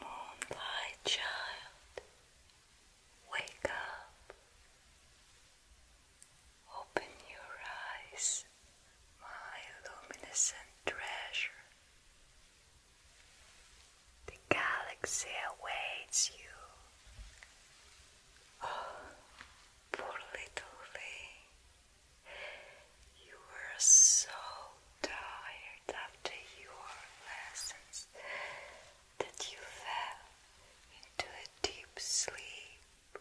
Moonlight child, wake up. Open your eyes, my luminescent treasure. The galaxy awaits you. Oh, poor little thing. You were so tired after your lessons that you fell into a deep sleep.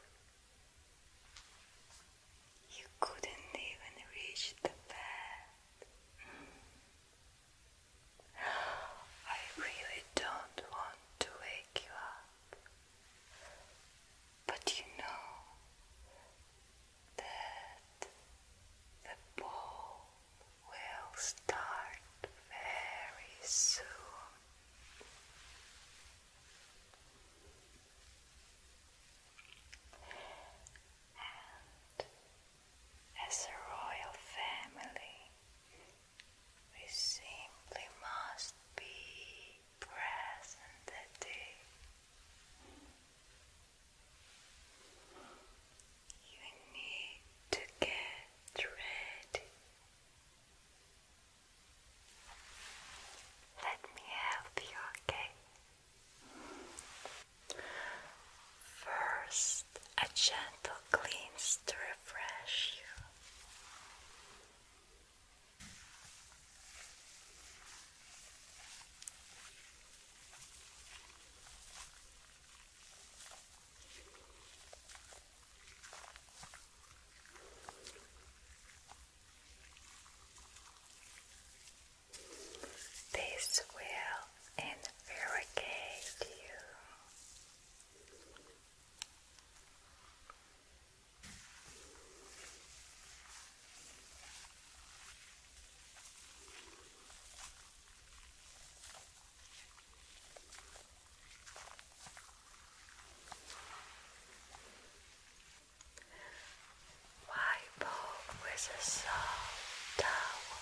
You couldn't even reach the bed. Mm. I really don't want to wake you up. But you know, that the ball will start very soon. And as a royal family, we simply must be present that day. You need to get ready. Let me help you, okay? First, a gentle cleanse to refresh you. This will invaricate you. Wipe off with a soft towel.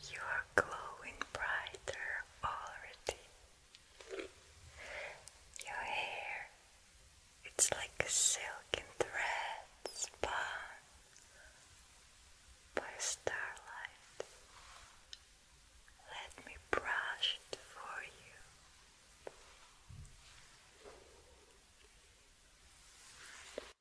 You are glowing brighter already. Your hair, it's like a silken thread spun by starlight. Let me brush it for you.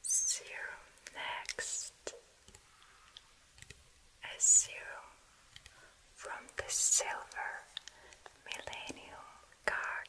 Serum next, a serum from the silver millennium card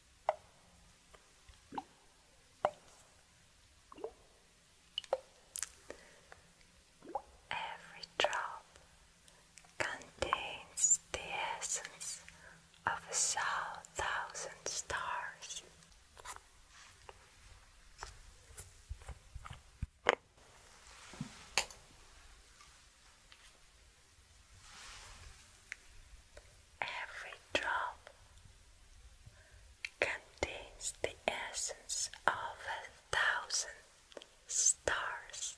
Every drop contains the essence of a thousand stars. Every drop contains the essence of a thousand stars.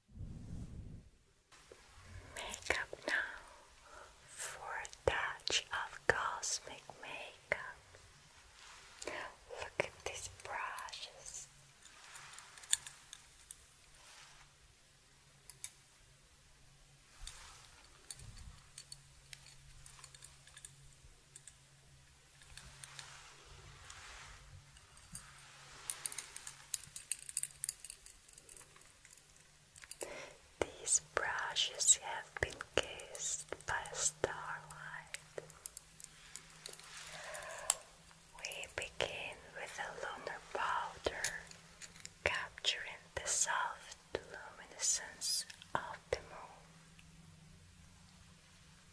Makeup now for a touch of cosmic makeup. Look at these brushes. These brushes have been kissed by starlight. We begin with a lunar powder, capturing the soft luminescence of the moon.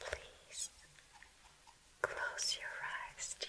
Please close your eyes, dear.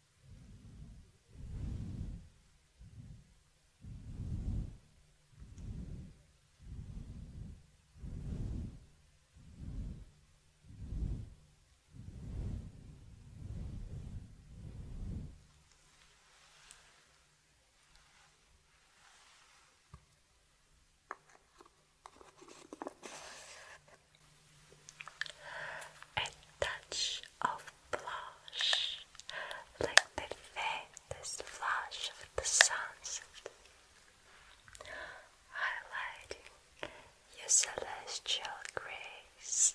A touch of blush, like the faintest flash of the sunset, highlighting your celestial grace.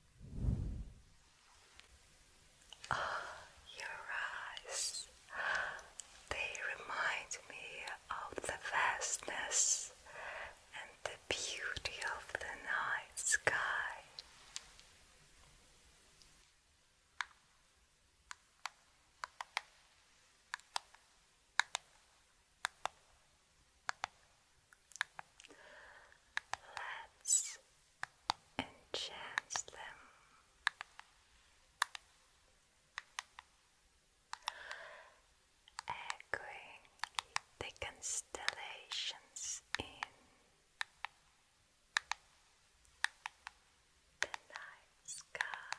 Ah, your eyes. They remind me of the vastness and the beauty of the night sky. Let's enchant them. Echoing the constellations in the night sky.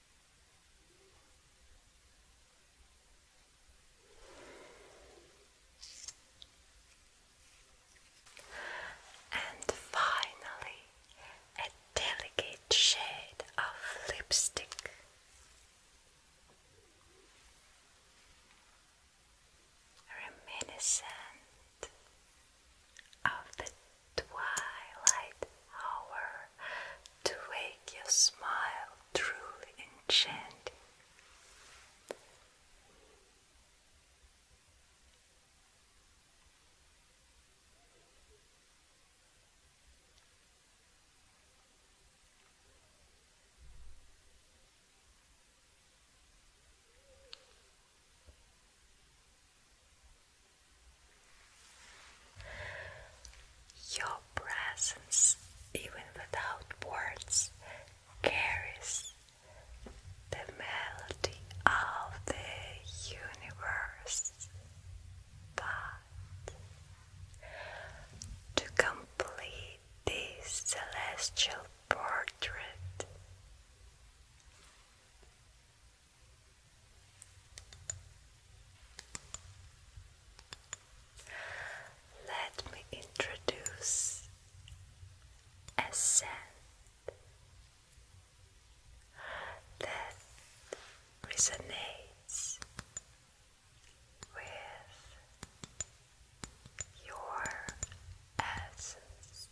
And finally, a delicate shade of lipstick. Reminiscent of the twilight hour to wake your smile truly enchanting. Your presence, even without words, carries the melody of the universe. But to complete this celestial portrait, let me introduce a scent that resonates with your essence.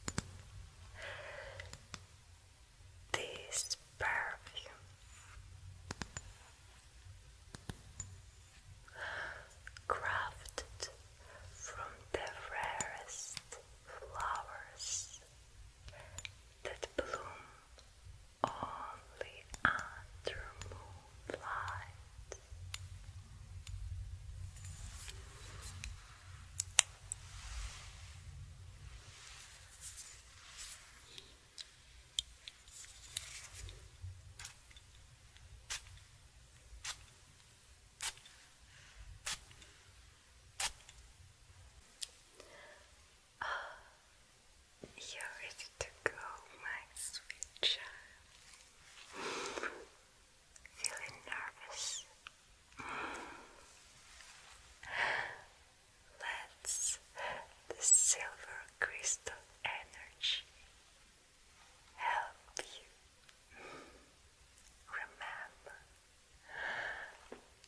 This perfume. Crafted from the rarest flowers that bloom only under moonlight. you're ready to go, my sweet child. Feeling nervous? Let's the silver crystal energy help you. Remember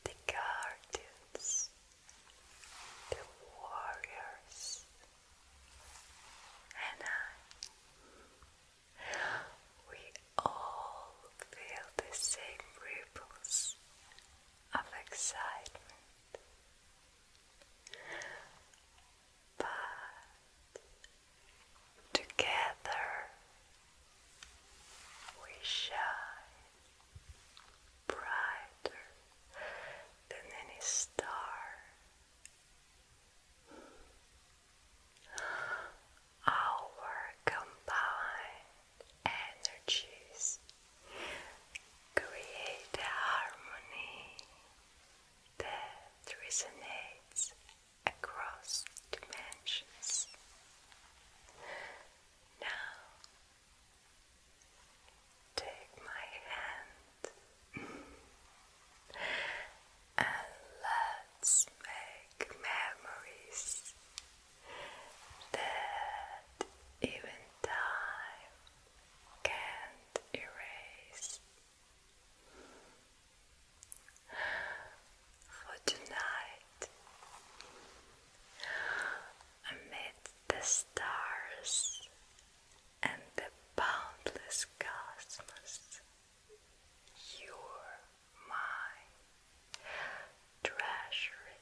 the guardians, the warriors, and I. We all feel the same ripples of excitement but together we shine brighter than any star. Our combined energies create a harmony that resonates across dimensions. Now, take my hand and let's make memories that even time can't erase. For tonight, amid the stars and the boundless cosmos, you're my treasury